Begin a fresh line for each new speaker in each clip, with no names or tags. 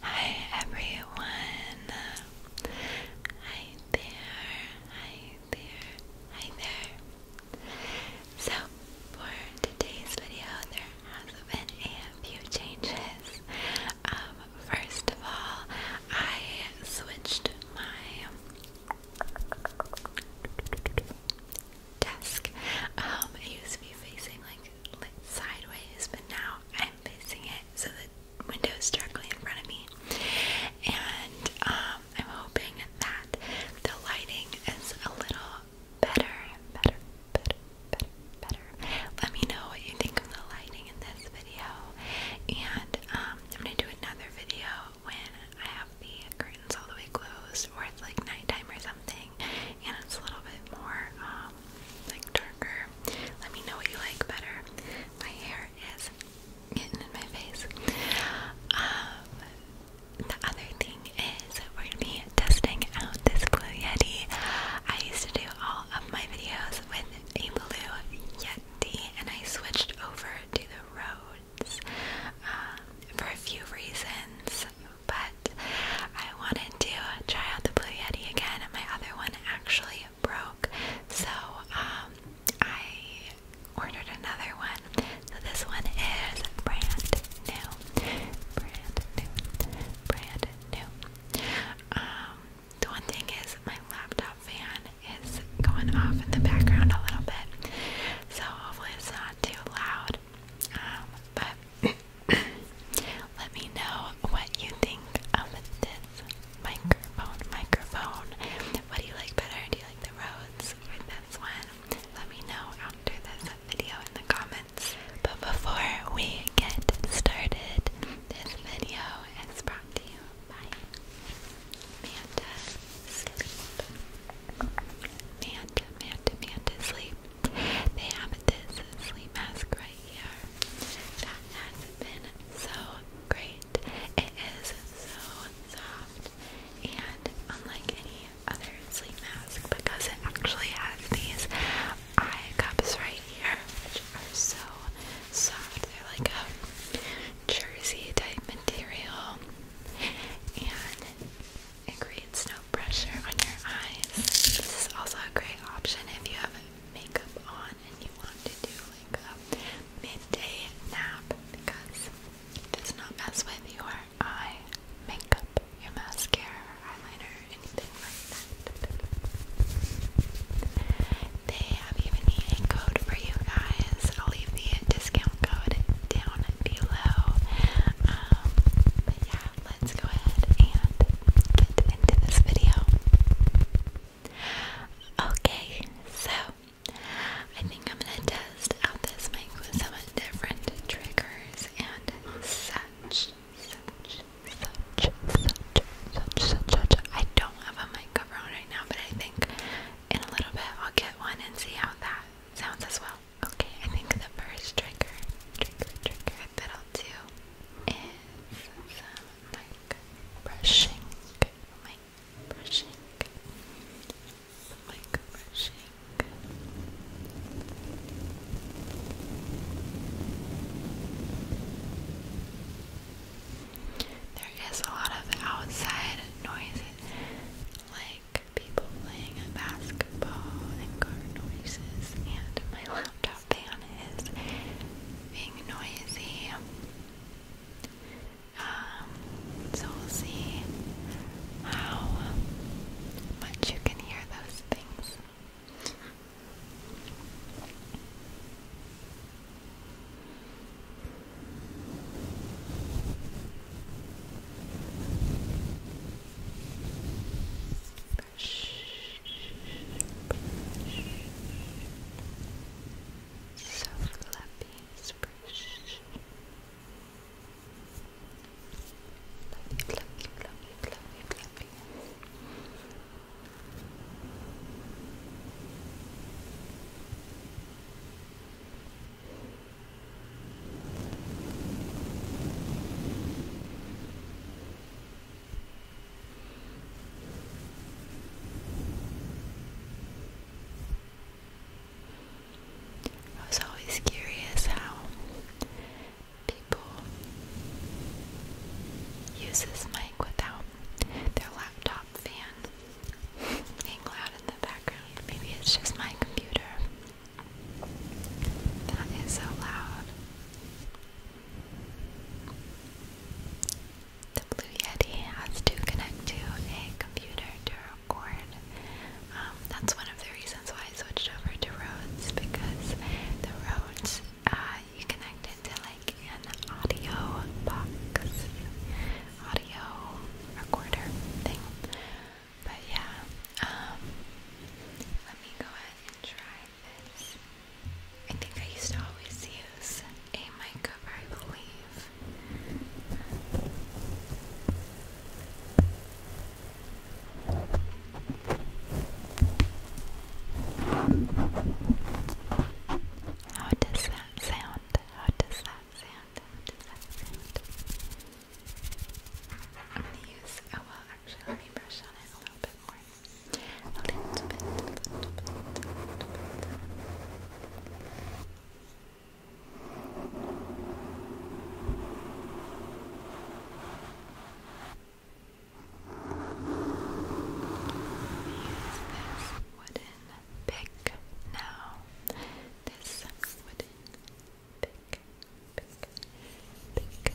Hi everyone. Hi there. Hi there. Hi there. So for today's video there has been a few changes. Um, first of all I switched my desk. Um, it used to be facing like sideways, but now I'm facing it so the window is directly in front of me. And um, I'm hoping that the lighting is a little better, better, better, better, better. Let me know what you think of the lighting in this video, and um, I'm gonna do another video when I have the curtains all the way closed, or it's like nighttime or something, and it's a little bit more. Um, um, like darker. Let me know what you like better. My hair is getting in my face. Um, the other thing is we're gonna be testing out this Blue Yeti. I used to do all of my videos with a Blue Yeti, and I switched over to the Rhodes um, for a few reasons but I wanted to try out the Blue Yeti again. My other one actually broke, so um, I ordered another one. So this one is brand new, brand new, brand new. Um, the one thing is my laptop fan is going off in the background a little bit, so hopefully it's not too loud but let me know what you think of this microphone. Microphone. What do you like better? Do you like the Rhodes or this one? Let me know after this video in the comments. But before we get started, this video is brought to you by Manta Sleep. Manta, Manta, Manta Sleep. They have this sleep mask right here that has been so great. It is so soft and unlike any other sleep mask because it actually has these eye cups right here, which are so soft. They're like a jersey type material. And it creates no pressure on your eyes. This is also a great option if you have makeup on and you want to do like a midday nap because it does not mess with your eye makeup, your mascara, or eyeliner, anything like that. They have even a code for you guys. I'll leave the discount code down below. Um, but yeah, let's go ahead and get into this video. Okay, so I think I'm gonna test out this mic with some different triggers and such, such, such, such, such, such, such. I don't have a mic cover on right now, but I think in a little bit I'll get one and see how that sounds as well. Okay, I think the first trigger, trigger, trigger that I'll do is some like brushing, like brushing, like brushing. There is a lot of outside noises, like people playing basketball and car noises, and my laptop fan is being noisy. Um, so we'll see how much you can hear those things. Brush, brush. fluffy, Fluffy, fluffy, fluffy, fluffy, I was always curious how people use this mic without their laptop fan being loud in the background. Maybe it's just my computer. That is so loud. The Blue Yeti has to connect to a computer to record. Um, that's one of the reasons why I switched over to Rhodes because the Rhodes, uh, you connect it like an audio box audio recorder thing. But yeah, um, let me go ahead and try this. I think I used to always use a mic cover, I believe. How does that sound? How does that that sound that sound? I'm gonna use oh well actually let me brush on it a little bit more. A little bit, a little bit, a little bit. Use this wooden pick now. This wooden pick, pick, pick, pick. Pick,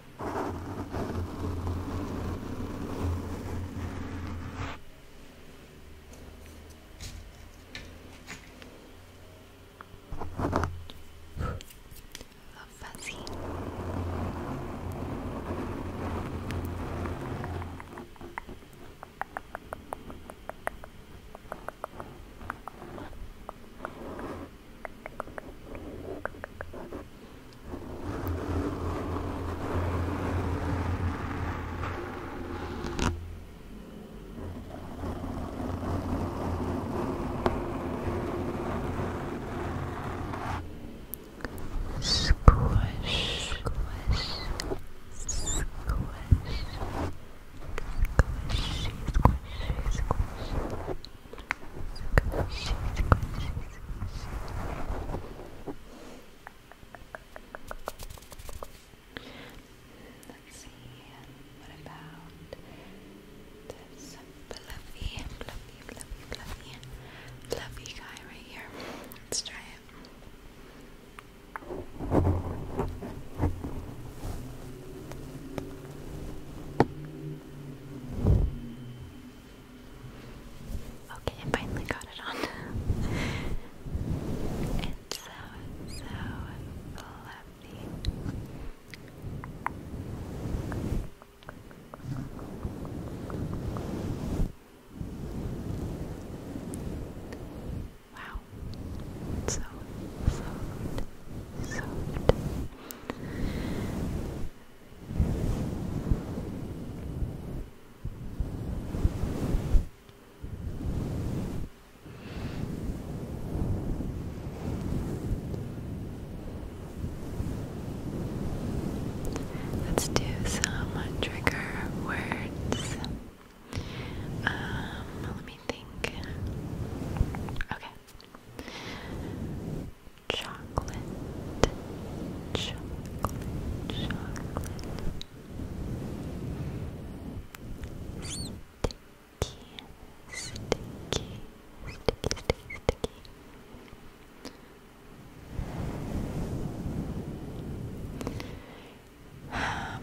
A fuzzy. Squish, squish, squish, squishy, squishy, squishy. Let's see, what about this fluffy, fluffy, fluffy, fluffy guy right here? Let's try it. Okay, I finally got it on. it's so, so fluffy. Wow, so soft, soft, Let's do some trigger words. Um, let me think. Okay. Chocolate, chocolate, chocolate. Sticky, sticky, sticky, sticky, sticky. Um,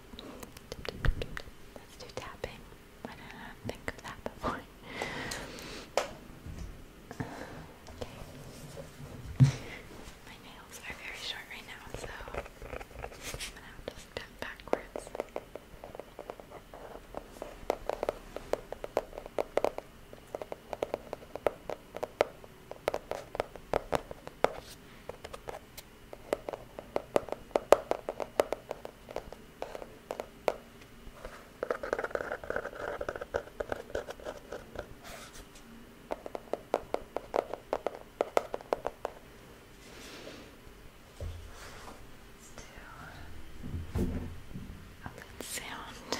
Let's do tapping. I didn't think of that before. Okay. My nails are very short right now, so I'm gonna have to step backwards. Let's do a good sound.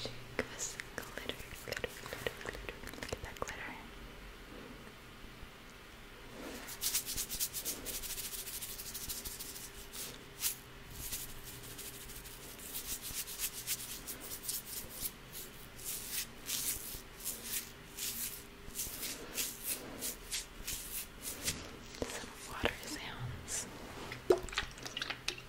Shake us glitter. Look at that glitter. Some water sounds.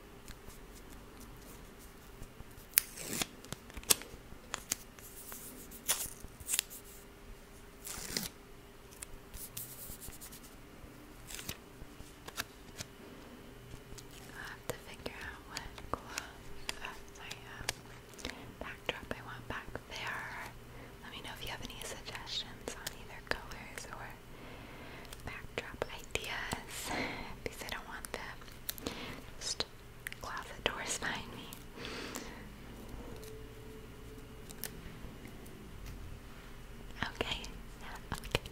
I have to figure out what glove, backdrop I want back there. Let me know if you have any suggestions on either colors or backdrop ideas because I don't want the closet doors behind me. Okay, okay,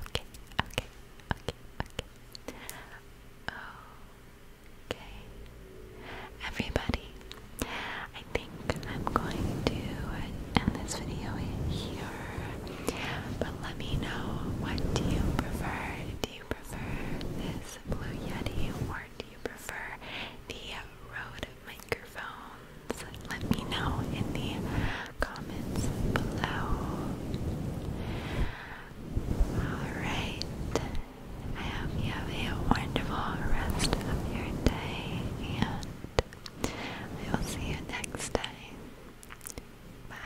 okay, okay, okay, okay. Okay. Everybody, I I'm going to end this video here. But let me know what do you prefer? Do you prefer this Blue Yeti or do you prefer the Rode microphones? Let me know in the comments below. Alright. I hope you have a wonderful rest of your day and we will see you next time. Bye.